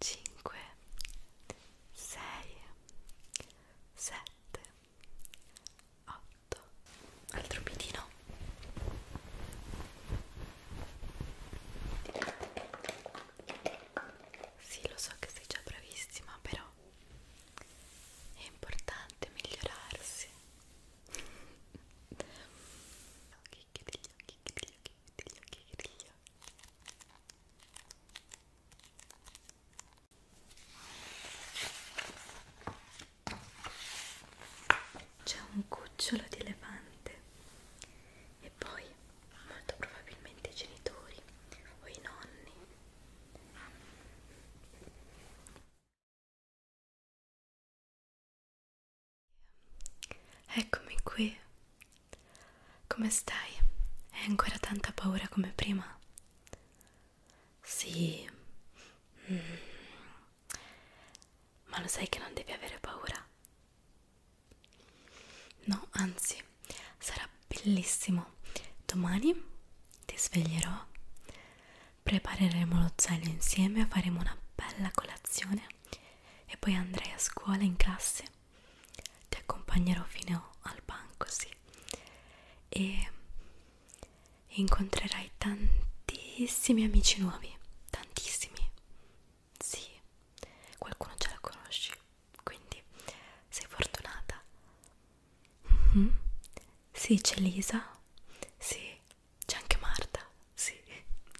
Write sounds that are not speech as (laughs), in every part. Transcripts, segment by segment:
5 6 7 8 altro pitino sì lo so che sei già bravissima però è importante migliorarsi (laughs) ok chiudi gli occhi, chiudi gli occhi, chiudi gli occhi, chiudi gli occhi. C'è un cucciolo di elefante e poi molto probabilmente i genitori o i nonni. Eccomi qui. Come stai? Hai ancora tanta paura come prima? Sì. Mm. Ma lo sai che non devi avere paura? No, anzi, sarà bellissimo. Domani ti sveglierò, prepareremo lo zaino insieme, faremo una bella colazione e poi andrai a scuola in classe ti accompagnerò fino al banco sì e incontrerai tantissimi amici nuovi tantissimi sì qualcuno ce la conosci quindi sei fortunata mm -hmm. sì c'è Lisa sì c'è anche Marta sì e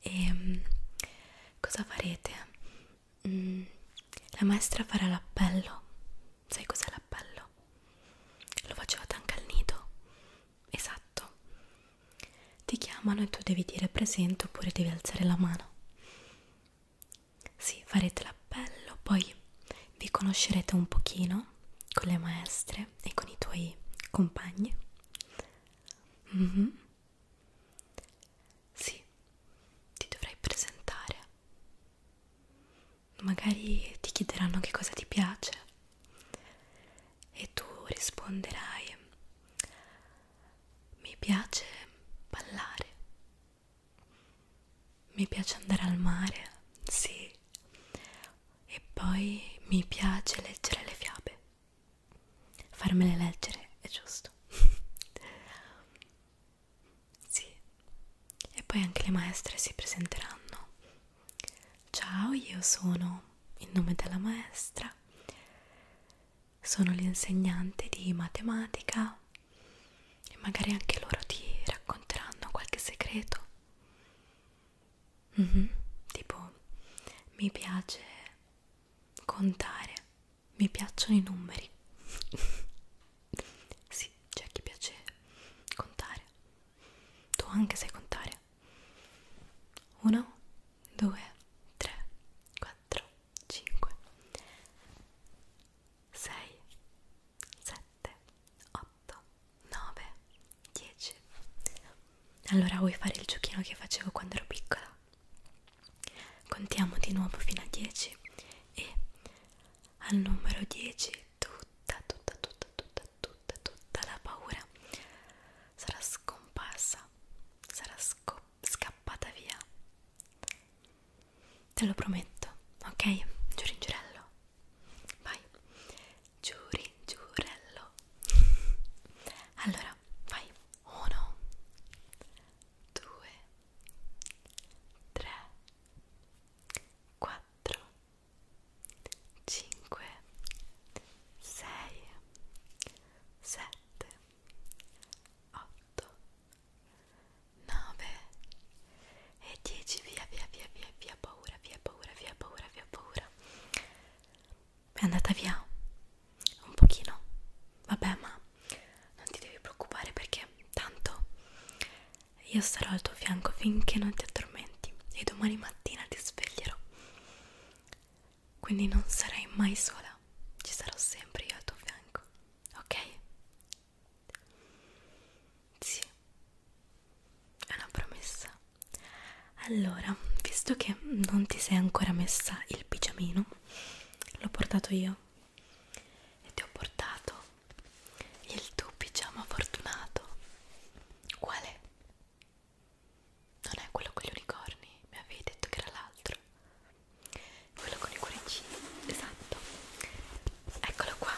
ehm, cosa farete? Mm, la maestra farà l'appello sai cos'è l'appello? lo facevate anche al nido esatto ti chiamano e tu devi dire presente oppure devi alzare la mano sì, farete l'appello, poi vi conoscerete un pochino con le maestre e con i tuoi compagni. Mm -hmm. Sì, ti dovrai presentare. Magari ti chiederanno che cosa ti piace e tu risponderai mi piace ballare. Mi piace andare al mare, sì. E poi mi piace leggere le fiabe farmele leggere è giusto (laughs) sì e poi anche le maestre si presenteranno ciao io sono il nome della maestra sono l'insegnante di matematica e magari anche loro ti racconteranno qualche segreto mm -hmm. tipo mi piace contare, mi piacciono i numeri. (laughs) sì, c'è chi piace contare. Tu anche sai contare. 1, 2, 3, 4, 5, 6, 7, 8, 9, 10. Allora vuoi fare il giochino che facevo quando ero piccola? Contiamo di nuovo fino a 10 e al numero 10 tutta, tutta, tutta, tutta, tutta, tutta la paura sarà scomparsa, sarà scappata via. Te lo prometto, ok? Giuringirello, vai. Giuringirello. (laughs) Allora, vai. 1 2 3 4 5 6 7 8 9 e 10 via via via via via paura via paura via paura via paura è andata via un pochino vabbè ma non ti devi preoccupare perché tanto io sarò al tuo fianco finché non ti addormenti e domani mattina ti sveglierò quindi non sarai mai sola ci sarò sempre io al tuo fianco ok sì è una promessa allora visto che non ti sei ancora messa il pigiamino l'ho portato io e ti ho portato il tuo pigiama fortunato qual è? non è quello con gli unicorni mi avevi detto che era l'altro quello con i cuoricini esatto eccolo qua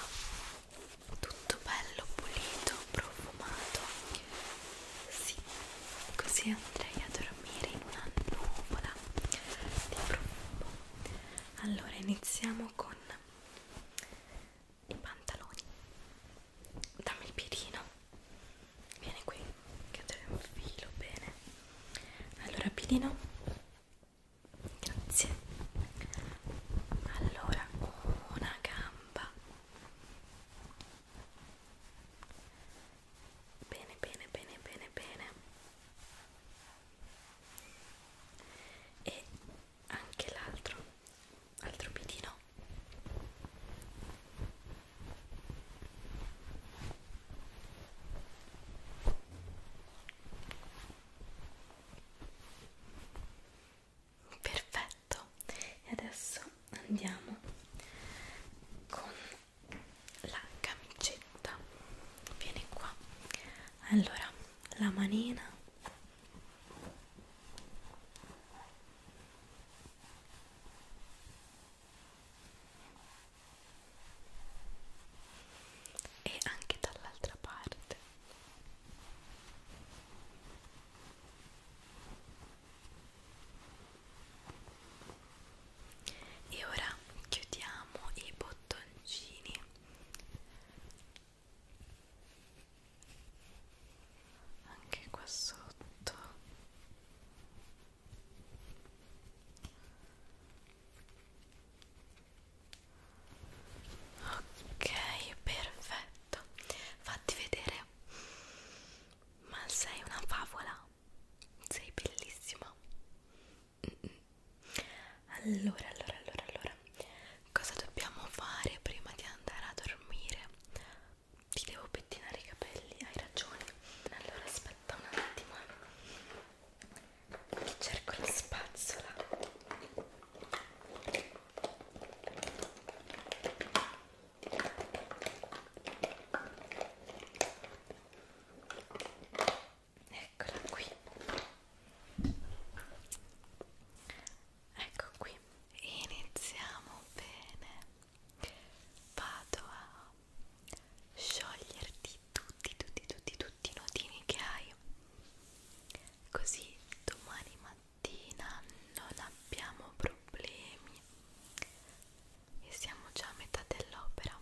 tutto bello pulito profumato sì, così andrei a dormire in una nuvola di profumo. Allora iniziamo con i pantaloni. Dammi il piedino. Vieni qui, che te lo infilo bene. Allora, piedino. Grazie. Allora, una gamba bene bene bene bene bene e anche l'altro altro pitino perfetto perfetto e adesso andiamo con la camicetta vieni qua allora la manina e anche dall'altra parte e ora chiudiamo i bottoncini anche qua sotto ok perfetto fatti vedere ma sei una favola, sei bellissima. Allora, allora, allora, allora, cosa dobbiamo fare prima di andare a dormire? Ti devo pettinare i capelli, hai ragione. Allora, aspetta un attimo. Ti eh. cerco la spazzola. Eccola qui. Ecco qui. Iniziamo bene. Vado a scioglierti tutti, tutti, tutti, tutti i nodini che hai. Così domani mattina mattina non abbiamo problemi e siamo già a metà dell'opera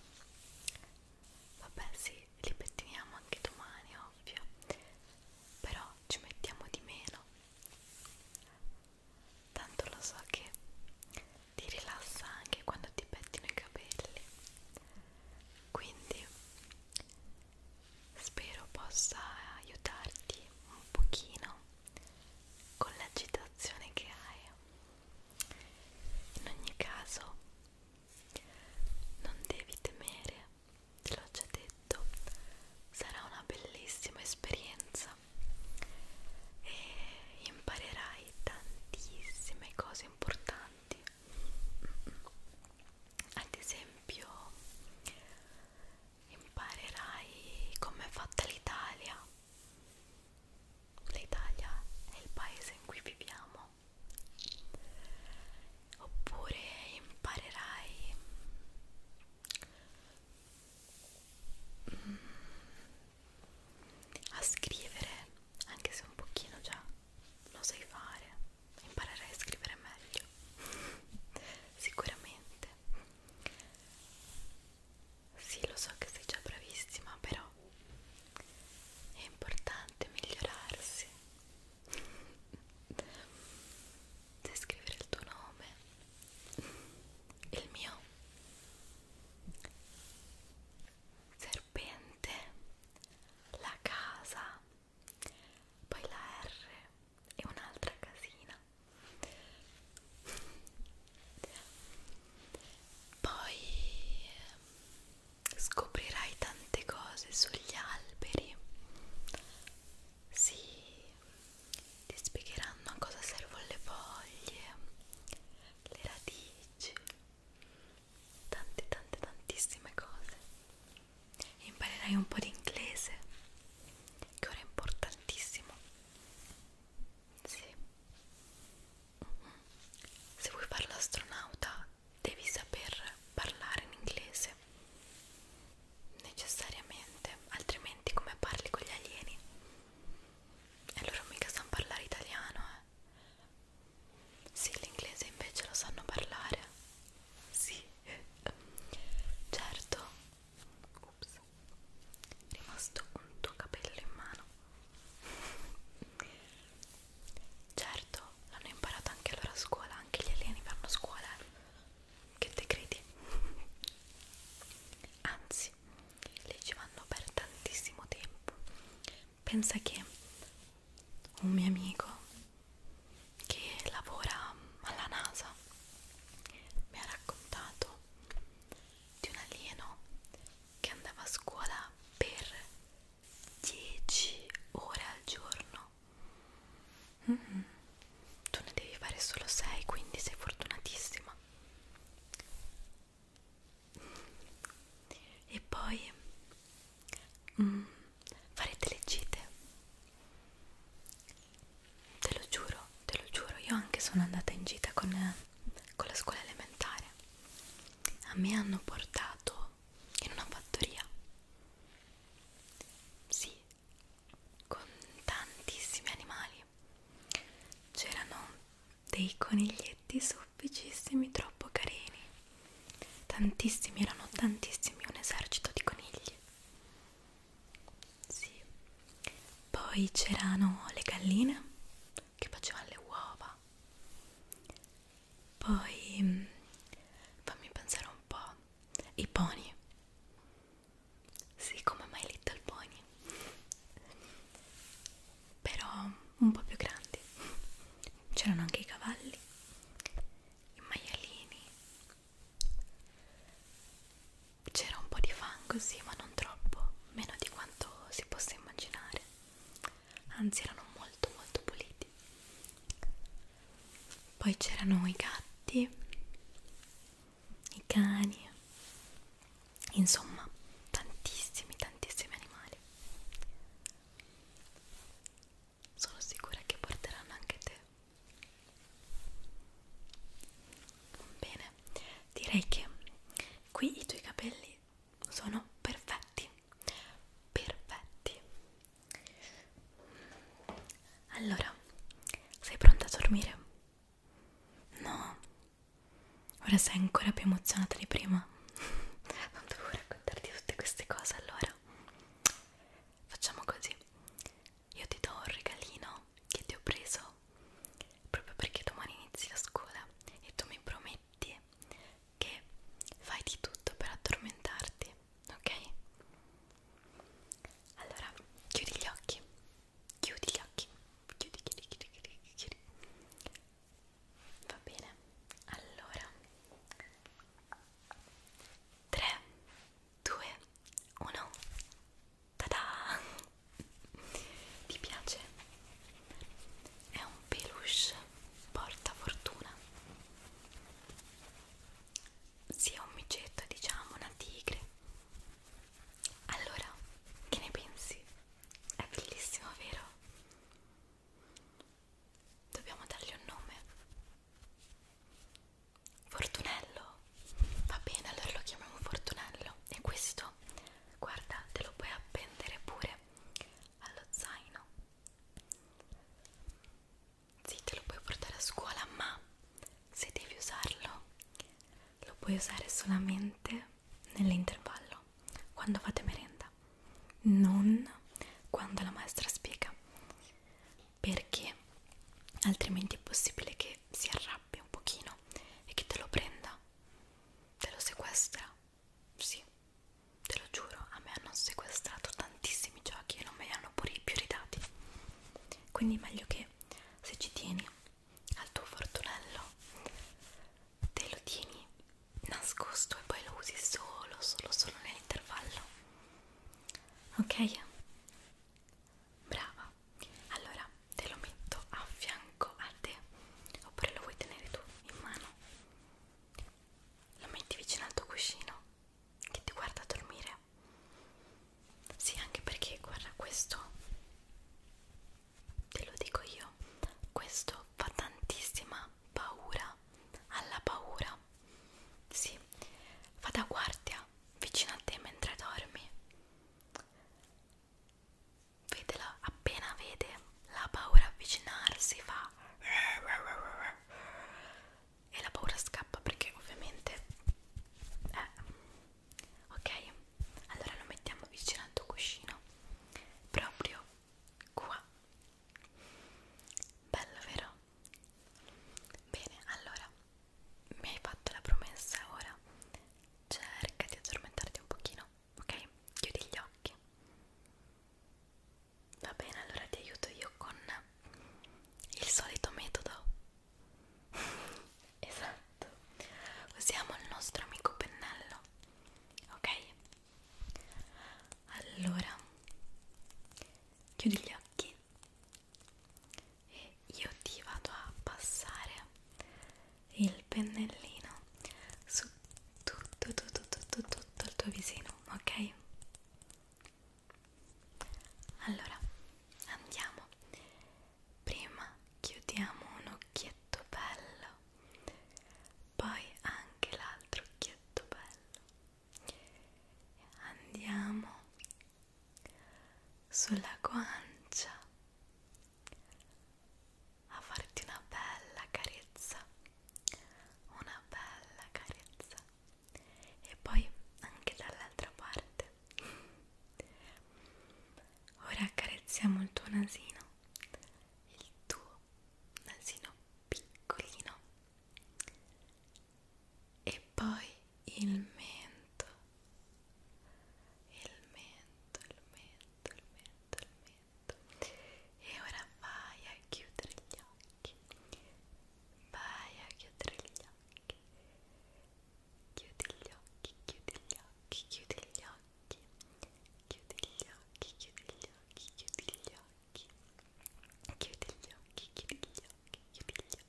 vabbè sì li pettiniamo anche domani ovvio però ci mettiamo di meno tanto lo so che ti rilassa anche quando ti pettino i capelli quindi spero possa aiutarti un pochino con l'agitazione che hai. In ogni caso, non devi temere, te l'ho già detto, sarà una bellissima esperienza e imparerai tantissime cose importanti. Ad esempio, imparerai com'è fatta l'Italia. L'Italia è il paese in cui viviamo. Oppure imparerai mm, a scrivere, anche se un pochino già lo sai fare, imparerai a scrivere meglio. (laughs) Sicuramente sì, lo so che sei già bravissima, però è importante migliorarsi. Sai (laughs) scrivere il tuo nome, il mio serpente, la casa, poi la R e un'altra casina poi ehm, scoprirai tante cose sugli alberi si ti spiegheranno a cosa servono le foglie le radici tante tante tantissime cose imparerai un po' di inglese che ora è importantissimo sì. Se vuoi fare l'astronauta devi saper parlare in inglese. Necessariamente, altrimenti come parli con gli alieni? E loro mica sanno parlare italiano, eh? Sì, l'inglese invece lo sanno parlare. Sì. Certo, Ops. È rimasto un tuo capello in mano. certo, l'hanno imparato anche loro a scuola, anche gli alieni vanno a scuola. Che te credi? Anzi, lì ci vanno per tantissimo tempo. Pensa che un mio amico che lavora alla NASA mi ha raccontato di un alieno che andava a scuola per 10 ore al giorno mm -hmm. tu ne devi fare solo 6 quindi sei fortunatissima e poi mm, farete le gite Te lo giuro, te lo giuro, io anche sono andata in gita con, con la scuola elementare. A me hanno portato in una fattoria. Sì, con tantissimi animali. C'erano dei coniglietti sofficissimi, troppo carini. Tantissimi, erano tantissimi, un esercito di conigli. Sì. Poi c'erano le galline che facevano le uova. Poi mm, fammi pensare un po'. I pony. Sì, come mai Little Pony. Però un po' più grandi. C'erano anche i cavalli, i maialini, c'era un po' di fango, sì, ma non troppo, meno di quanto si possa immaginare. Anzi, erano molto, molto puliti. Poi c'erano i gatti, i cani, insomma, tantissimi, tantissimi animali. Sono sicura che porteranno anche te Bene, direi che qui i tuoi capelli sono perfetti, perfetti. Allora, sei pronta a dormire? No, ora sei ancora più emozionata di prima. Non (laughs) dovevo raccontarti tutte queste cose allora. Facciamo così io ti do un regalino che ti ho preso proprio perché domani inizi la scuola e tu mi prometti che fai di tutto per addormentarti, ok? Allora, chiudi gli occhi, chiudi gli occhi, chiudi, chiudi, chiudi, chiudi, chiudi. Va bene, allora 3, 2, 1 Tada! Ti piace? È un peluche porta fortuna. Sia un micetto, diciamo, una tigre. Allora, che ne pensi? È bellissimo, vero? Dobbiamo dargli un nome. Fortunello, va bene, allora lo chiamiamo Fortunello. E questo, guarda, te lo puoi appendere pure allo zaino. Sì, te lo puoi portare a scuola, ma se devi usarlo, lo puoi usare solamente nell'intervallo quando fate merenda, non quando la maestra spiega perché altrimenti è possibile che si arrabbia un pochino e che te lo prenda, te lo sequestra. Sì, te lo giuro, a me hanno sequestrato tantissimi giochi e non me li hanno pure più ridati. Quindi meglio che se ci tieni al tuo fortunello, te lo tieni nascosto e poi lo usi solo, solo, solo nell'intervallo. Ok? brava allora te lo metto a fianco a te oppure lo vuoi tenere tu in mano lo metti vicino al tuo cuscino che ti guarda a dormire sì anche perché guarda questo te lo dico io questo fa tantissima paura alla paura sì fa da guardia vicino a te mentre dormi. Vedela, appena vede la paura avvicinarsi fa e la paura scappa perché ovviamente eh. ok allora lo mettiamo vicino al tuo cuscino proprio qua bello vero Bene, allora mi hai fatto la promessa ora. Cerca di addormentarti un pochino, ok? Chiudi gli occhi. Va bene, allora ti aiuto io con il solito metodo. (laughs) esatto. Usiamo il nostro amico pennello. Ok? Allora chiudi gli occhi e io ti vado a passare il pennellino su tutto tutto tutto tutto il tuo visino ok allora andiamo prima chiudiamo un occhietto bello poi anche l'altro occhietto bello andiamo sulla guancia a farti una bella carezza una bella carezza e poi anche dall'altra parte ora accarezziamo il tuo nasino il tuo nasino piccolino e poi il mento il mento il mento il mento il mento e ora vai a chiudere gli occhi vai a chiudere gli occhi chiudi gli occhi chiudi gli occhi chiudi gli occhi chiudi gli occhi chiudi gli occhi chiudi gli occhi chiudi gli occhi chiudi gli occhi chiudi gli occhi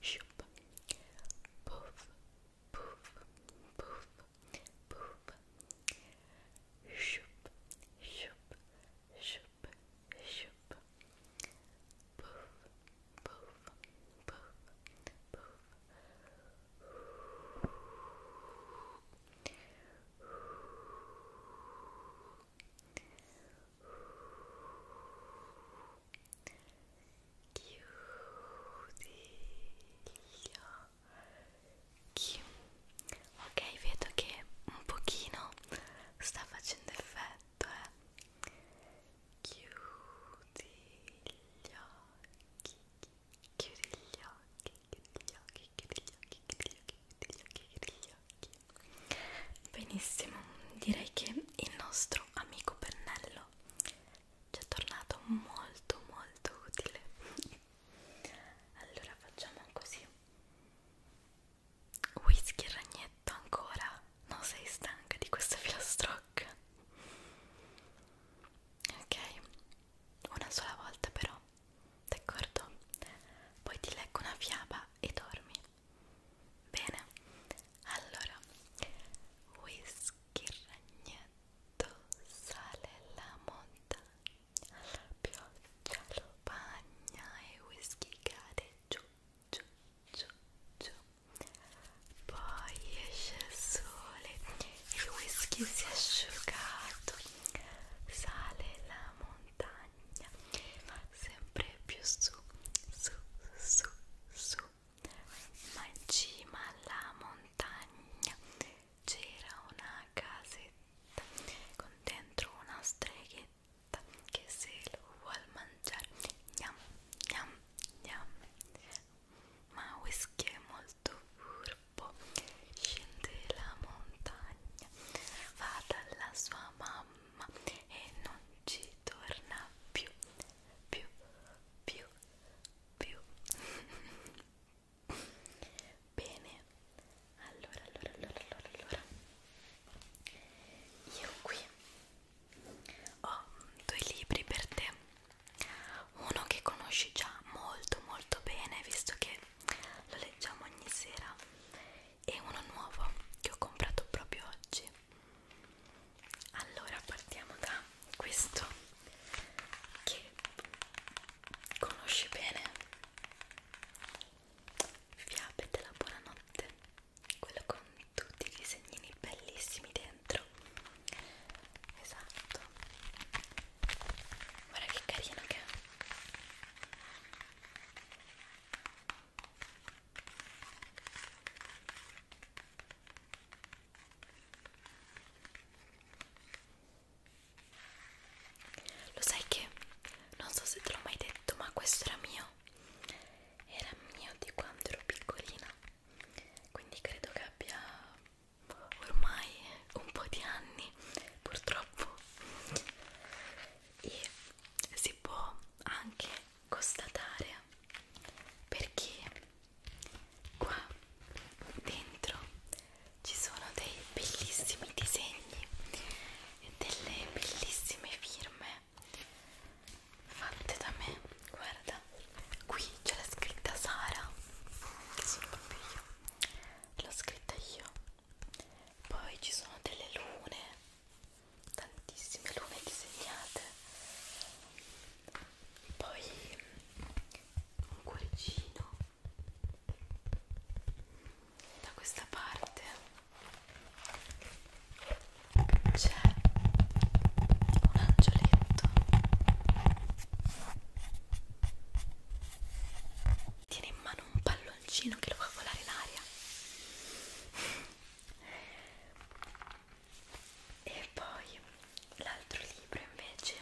Shoop, pouf, pouf, pouf, pouf, pouf, pouf, pouf, chiudi gli occhi ok vedo che un pochino sta facendo effetto eh chiudi gli occhi chiudi gli occhi chiudi gli occhi chiudi gli occhi chiudi gli occhi chiudi gli occhi chiudi gli occhi benissimo direi che il nostro amico pennello bello ci è tornato molto molto utile allora facciamo così whisky e ragnetto ancora non sei stanca di questa filastrocca ok una sola volta però d'accordo poi ti leggo una fiaba e dormi Bene, allora whisky, ragnetto, sale la montagna, la pioggia lo bagna e whisky cade giù, giù, giù, giù. Poi esce il sole, il whisky si è asciugato, sale la montagna, va sempre più su, su, su, su, ma in cima alla montagna c'era una casetta con dentro una streghetta che se lo vuol mangiare gnam gnam gnam ma Whisky è molto furbo scende la montagna va dalla sua mamma e non ci si torna più, più, più, più. (laughs) Bene, allora, allora, allora, allora, allora. Io qui ho due libri per te. Uno che conosci già molto molto bene, visto che lo leggiamo ogni sera, e uno nuovo che ho comprato proprio oggi allora partiamo da questo che conosci bene Fiabe della buonanotte quello con tutti i disegnini bellissimi dentro esatto guarda che carino che è lo sai che non so se te l'ho mai detto, ma questo era mio. Era mio di quando ero piccolina. Quindi credo che abbia ormai un po' di anni, purtroppo. E si può anche constatare perché qua dentro ci sono dei bellissimi disegni e delle bellissime firme fatte da me guarda qui c'è la scritta Sara che sono proprio io l'ho scritta io poi ci sono delle lune tantissime lune disegnate poi un cuoricino da questa parte c'è un angioletto tiene in mano un palloncino che lo fa volare in aria e poi l'altro libro invece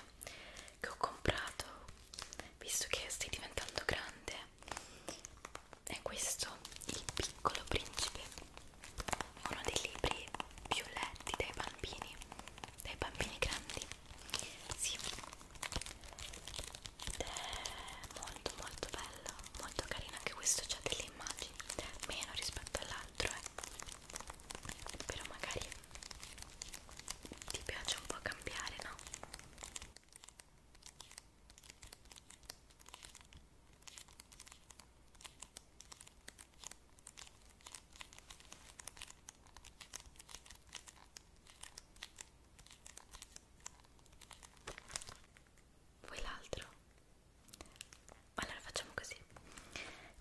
che ho comprato visto che stai diventando grande è questo Il piccolo principe uno dei libri più letti dai bambini dai bambini grandi sì ed è molto molto bello molto carino anche questo c'ha delle immagini meno rispetto all'altro eh. però magari ti piace un po' cambiare no? Vuoi l'altro? Allora facciamo così.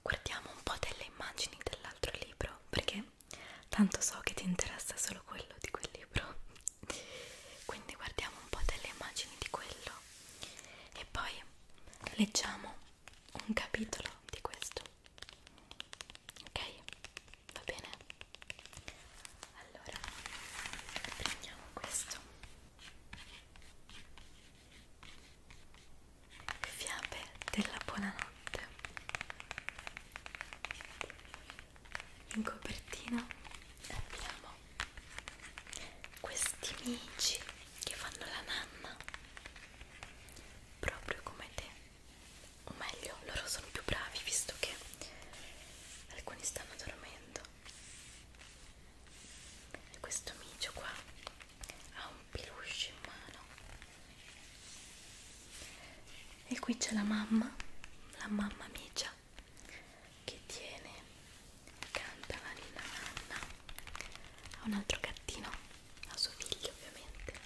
Guardiamo un po' delle immagini dell'altro libro, perché tanto so che ti interessa solo quello di quel libro. (laughs) Quindi guardiamo un po' delle immagini di quello e poi leggiamo un capitolo di questo. Ok? Va bene? Allora, prendiamo questo. Fiabe della buonanotte. In copertina abbiamo questi amici che fanno la nanna proprio come te o meglio loro sono più bravi visto che alcuni stanno dormendo questo micio qua ha un peluche in mano e qui c'è la mamma la mamma micia che tiene canta la nina nanna ha un altro gattino a suo figlio ovviamente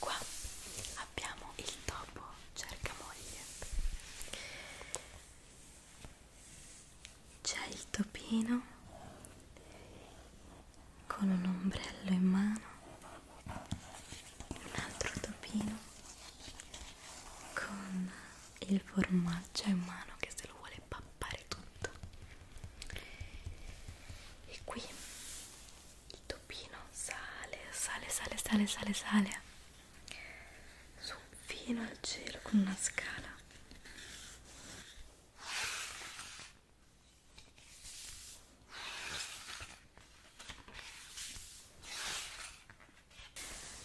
Qua abbiamo il topo cercamoglie. C'è il topino con un ombrello in mano, un altro topino con il formaggio in mano che se lo vuole pappare tutto e qui il topino sale, sale, sale, sale, sale, sale su fino al cielo con una scala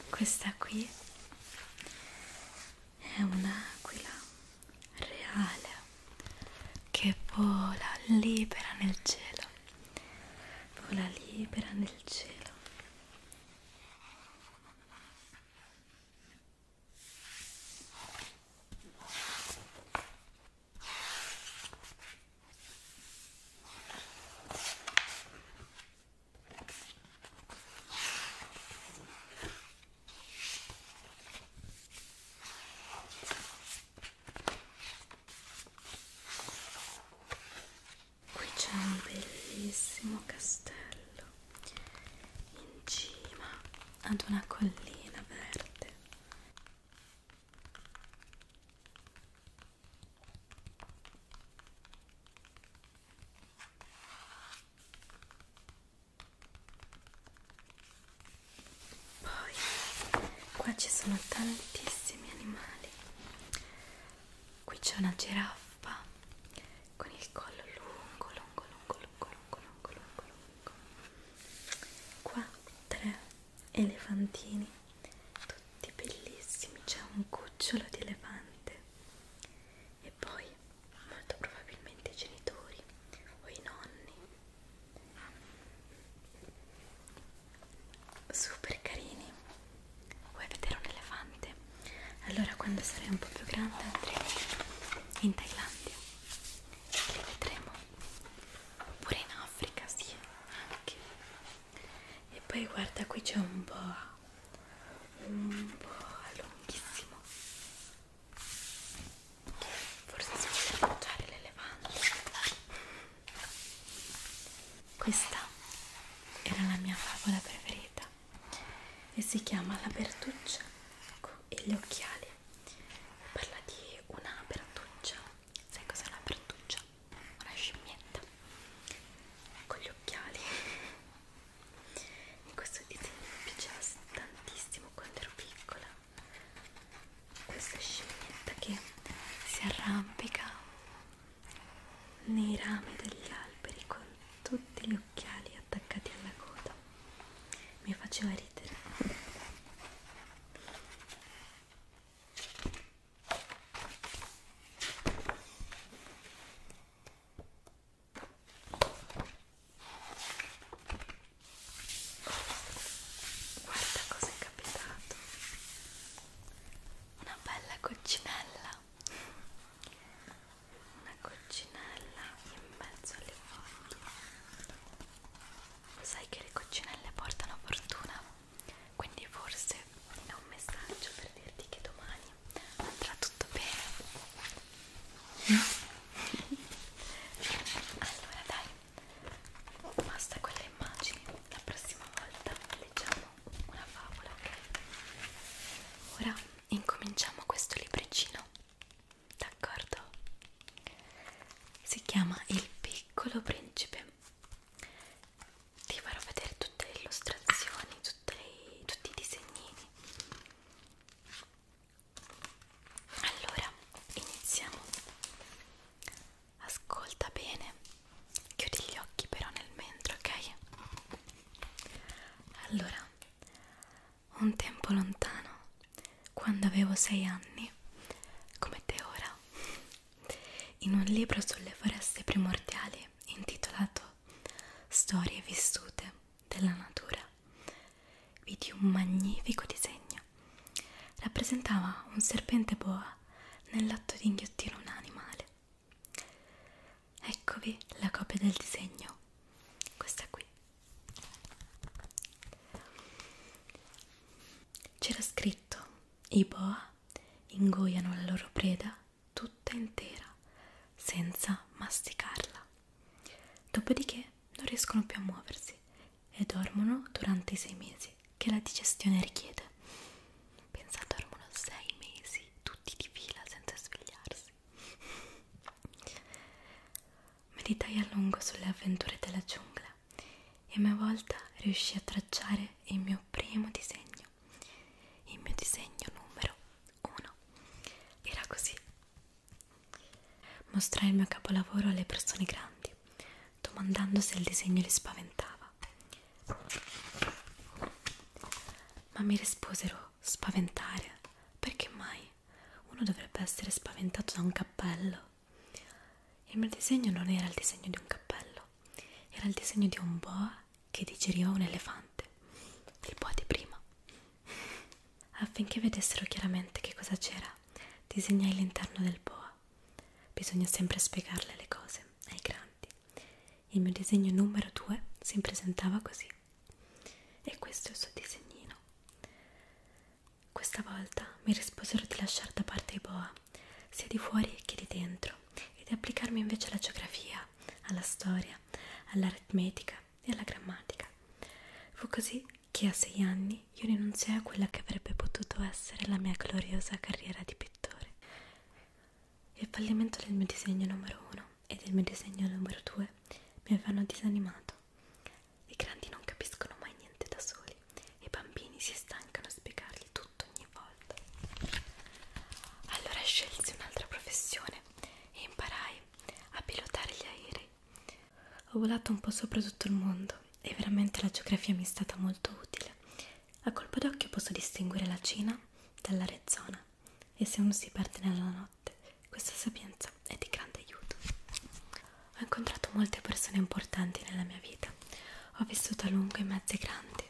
questa qui è un'aquila reale che vola libera nel cielo vola libera nel cielo Qui c'è un bellissimo castello in cima ad una collina verde. Poi qua ci sono tantissimi animali. Qui c'è una giraffa con il collo lungo, lungo, lungo, lungo, lungo, lungo, lungo, lungo. Qua tre elefantini, tutti bellissimi. C'è un cucciolo di elefante. E poi molto probabilmente i genitori o i nonni super carini vuoi vedere un elefante? allora quando sarai un po' più grande andremo in Thailandia li vedremo oppure in Africa sì anche e poi guarda qui c'è un boa un po' lunghissimo forse si vuole mangiare l'elefante questa era la mia favola preferita e si chiama la bertuccia e gli occhiali parla di una bertuccia sai cos'è una bertuccia? una scimmietta con gli occhiali e questo disegno mi piaceva tantissimo quando ero piccola questa scimmietta che si arrampica nei rami degli alberi con tutti gli occhiali attaccati alla coda mi faceva ridere Guarda cosa è capitato. Una bella coccinella. Una coccinella in mezzo alle foglie. Sai che le coccinelle portano fortuna? Quindi forse è un messaggio per dirti che domani andrà tutto bene (laughs) allora dai basta con le immagini la prossima volta leggiamo una favola ok? ora incominciamo questo libricino d'accordo? si chiama il piccolo principe ti farò vedere tutte le illustrazioni, tutte le, tutti i disegni allora iniziamo ascolta bene chiudi gli occhi però nel mentre ok allora un tempo lontano quando avevo sei anni come te ora in un libro sulle foreste primordiali intitolato storie vissute della natura vidi un magnifico disegno rappresentava un serpente boa nell'atto di inghiottire un animale eccovi la copia del disegno questa qui c'era scritto i boa ingoiano la loro preda tutta intera senza masticarla. Dopodiché non riescono più a muoversi e dormono durante i sei mesi che la digestione richiede. Pensa, dormono sei mesi tutti di fila senza svegliarsi. (laughs) Meditai a lungo sulle avventure della giungla e a mia volta riuscii a tracciare il mio primo disegno il mio disegno numero 1 era così. Mostrai il mio capolavoro alle persone grandi, domandando se il disegno li spaventava. Ma mi risposero spaventare, perché mai uno dovrebbe essere spaventato da un cappello? Il mio disegno non era il disegno di un cappello, era il disegno di un boa che digeriva un elefante il po' di prima. Affinché vedessero chiaramente che cosa c'era, disegnai l'interno del boa. Bisogna sempre spiegarle le cose ai grandi. Il mio disegno numero 2 si presentava così. E questo è il suo disegnino. Questa volta mi risposero di lasciare da parte i boa, sia di fuori che di dentro, e di applicarmi invece alla geografia, all'idea, alla storia, all'aritmetica e alla grammatica. Fu così che a sei anni io rinunziai a quella che avrebbe potuto essere la mia gloriosa carriera di pittore. Il fallimento del mio disegno numero uno e del mio disegno numero due mi avevano disanimato. I grandi non capiscono mai niente da soli, i bambini si stancano a spiegargli tutto ogni volta. Allora scelsi un'altra professione aviazione e imparai a pilotare gli aerei. Ho volato un po' sopra tutto il mondo e veramente la geografia mi è stata molto utile. A colpo d'occhio posso distinguere la Cina dall'Arizona e se uno si perde nella notte, questa sapienza è di grande aiuto. Ho incontrato molte persone importanti nella mia vita, ho vissuto a lungo in mezzi grandi,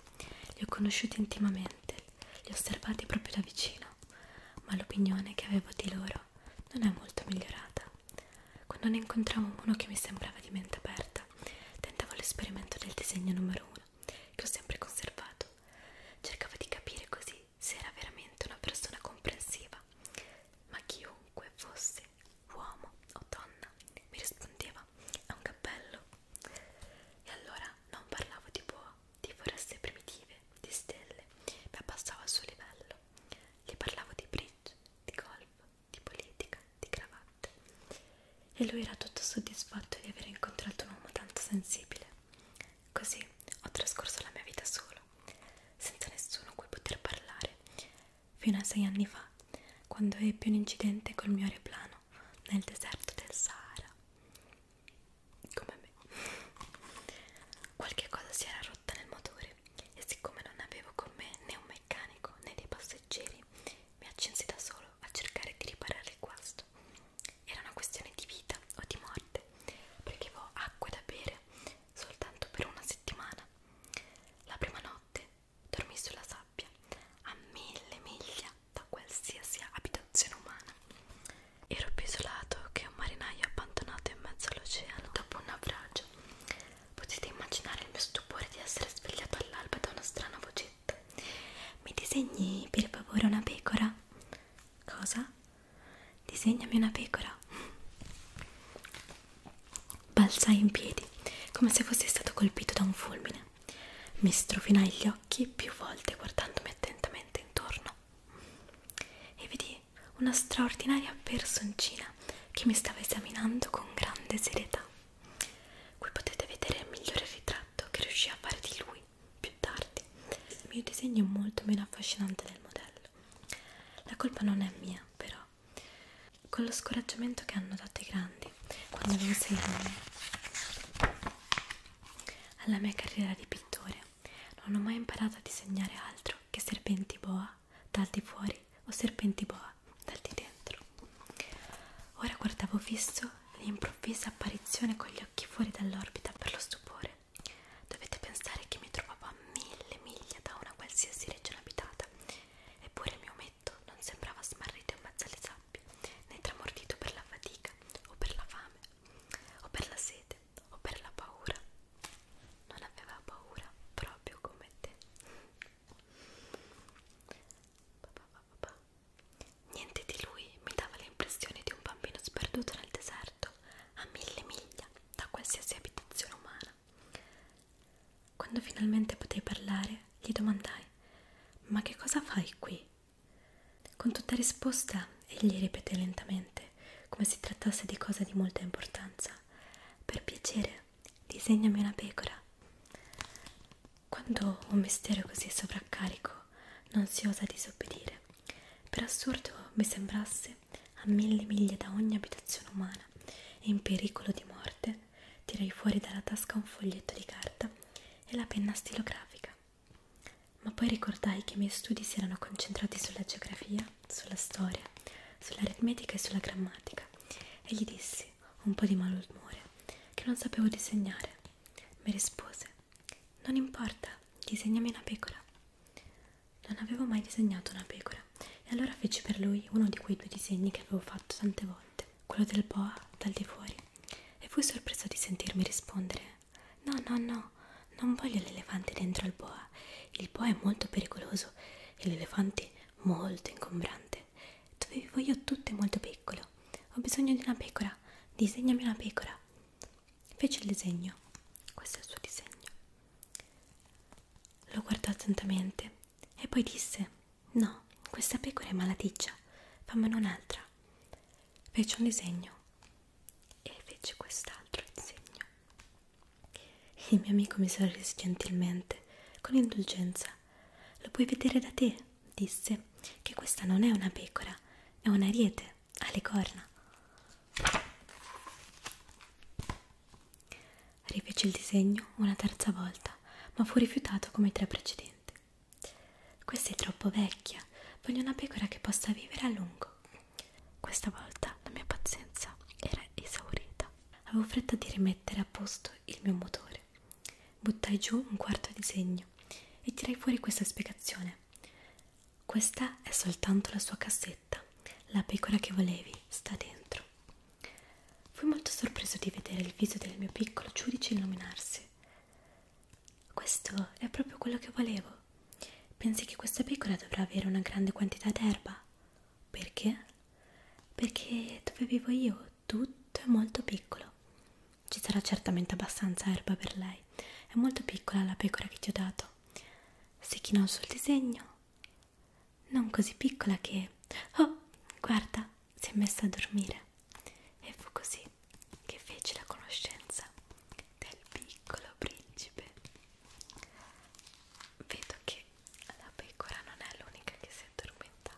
li ho conosciuti intimamente li ho osservati proprio da vicino, ma l'opinione che avevo di loro non è molto migliorata. Quando ne incontrammo uno che mi sembrava di mente aperta, tentavo l'esperimento del disegno numero uno, che ho sempre conservato. Cercavo di capire così se era veramente una persona comprensiva, ma chiunque fosse, uomo o donna, mi rispondeva a un cappello. E allora non parlavo di boa, di foreste primitive, di stelle, mi abbassavo al suo livello. Le parlavo di bridge, di golf, di politica, di cravatte. E lui era tutto soddisfatto di aver incontrato un uomo tanto sensibile. Così ho trascorso la mia vita solo, senza nessuno cui poter parlare, fino a sei anni fa, quando ebbi un incidente col mio aeroplano nel deserto del Sahara come me qualche cosa si era rotta nel motore e siccome non avevo con me né un meccanico né dei passeggeri mi accinsi da solo a cercare di riparare il guasto era una questione di vita o di morte perché avevo acqua da bere soltanto per una settimana la prima notte dormii sulla sabbia a mille miglia da qualsiasi abitazione umana. Ero più isolato che un marinaio abbandonato in mezzo all'oceano dopo un naufragio. Potete immaginare il mio stupore di essere svegliato all'alba da una strana vocetta. Mi disegni per favore una pecora? Cosa? Disegnami una pecora. Balzai in piedi, come se fossi stato colpito da un fulmine. Mi strofinai gli occhi più volte guardandomi attentamente intorno e vedi una straordinaria personcina che mi stava esaminando con grande serietà. Qui potete vedere il migliore ritratto che riuscì a fare di lui più tardi. Il mio disegno è molto meno affascinante del modello. La colpa non è mia, però. Con lo scoraggiamento che hanno dato i grandi quando avevo sei anni, alla mia carriera di pittore non ho mai imparato a disegnare altro che serpenti boa dal di fuori o serpenti boa dal di dentro. Ora guardavo fisso l'improvvisa apparizione con gli occhi fuori dall'orbita per lo stupore. Dovete pensare che mi trovavo a mille miglia da una qualsiasi regione abitata, eppure il mio ometto non sembrava smarrito in mezzo alle sabbie né tramortito per la fatica o per la fame o per la sete o per la paura. Non aveva paura proprio come te. Niente di lui mi dava l'impressione di un bambino sperduto nel deserto, a mille miglia da qualsiasi abitazione umana. Quando finalmente potei parlare, gli domandai: Ma che cosa fai qui? Con tutta risposta egli ripeté lentamente, come se trattasse di cosa di molta importanza. Per piacere, disegnami una pecora. Quando un mistero così sovraccarico non si osa disobbedire, per assurdo mi sembrasse a mille miglia da ogni abitazione umana e in pericolo di morte, tirai fuori dalla tasca un foglietto di carta e la penna stilografica. Ma poi ricordai che i miei studi si erano concentrati sulla geografia, sulla storia, sull'aritmetica e sulla grammatica e gli dissi, un po' di malumore, che non sapevo disegnare. Mi rispose, non importa, disegnami una pecora. Non avevo mai disegnato una pecora e allora feci per lui uno di quei due disegni che avevo fatto tante volte quello del boa dal di fuori e fui sorpreso di sentirmi rispondere no no no non voglio l'elefante dentro al boa il boa è molto pericoloso e l'elefante molto ingombrante dove vivo io tutto è molto piccolo ho bisogno di una pecora disegnami una pecora fece il disegno questo è il suo disegno lo guardò attentamente e poi disse no questa pecora è malaticcia fammene un'altra fece un disegno e fece quest'altro disegno. Il mio amico mi sorrise gentilmente, con indulgenza. Lo puoi vedere da te, disse, che questa non è una pecora, è un ariete, ha le corna. Rifece il disegno una terza volta, ma fu rifiutato come i tre precedenti. Questa è troppo vecchia, voglio una pecora che possa vivere a lungo. Questa volta la mia pazienza era esaurita. Avevo fretta di rimettere a posto il mio motore. Buttai giù un quarto di segno e tirai fuori questa spiegazione. Questa è soltanto la sua cassetta. La pecora che volevi sta dentro. Fui molto sorpreso di vedere il viso del mio piccolo giudice illuminarsi. Questo è proprio quello che volevo. Pensi che questa pecora dovrà avere una grande quantità d'erba? Perché? Perché dove vivo io tutto è molto piccolo. Ci sarà certamente abbastanza erba per lei. È molto piccola la pecora che ti ho dato. Si chinò sul disegno. Non così piccola che... Oh, guarda, si è messa a dormire e fu così che fece la conoscenza del piccolo principe. Vedo che la pecora non è l'unica che si è addormentata.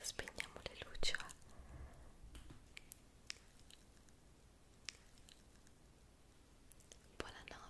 Spegniamo le luci. Va? Buonanotte.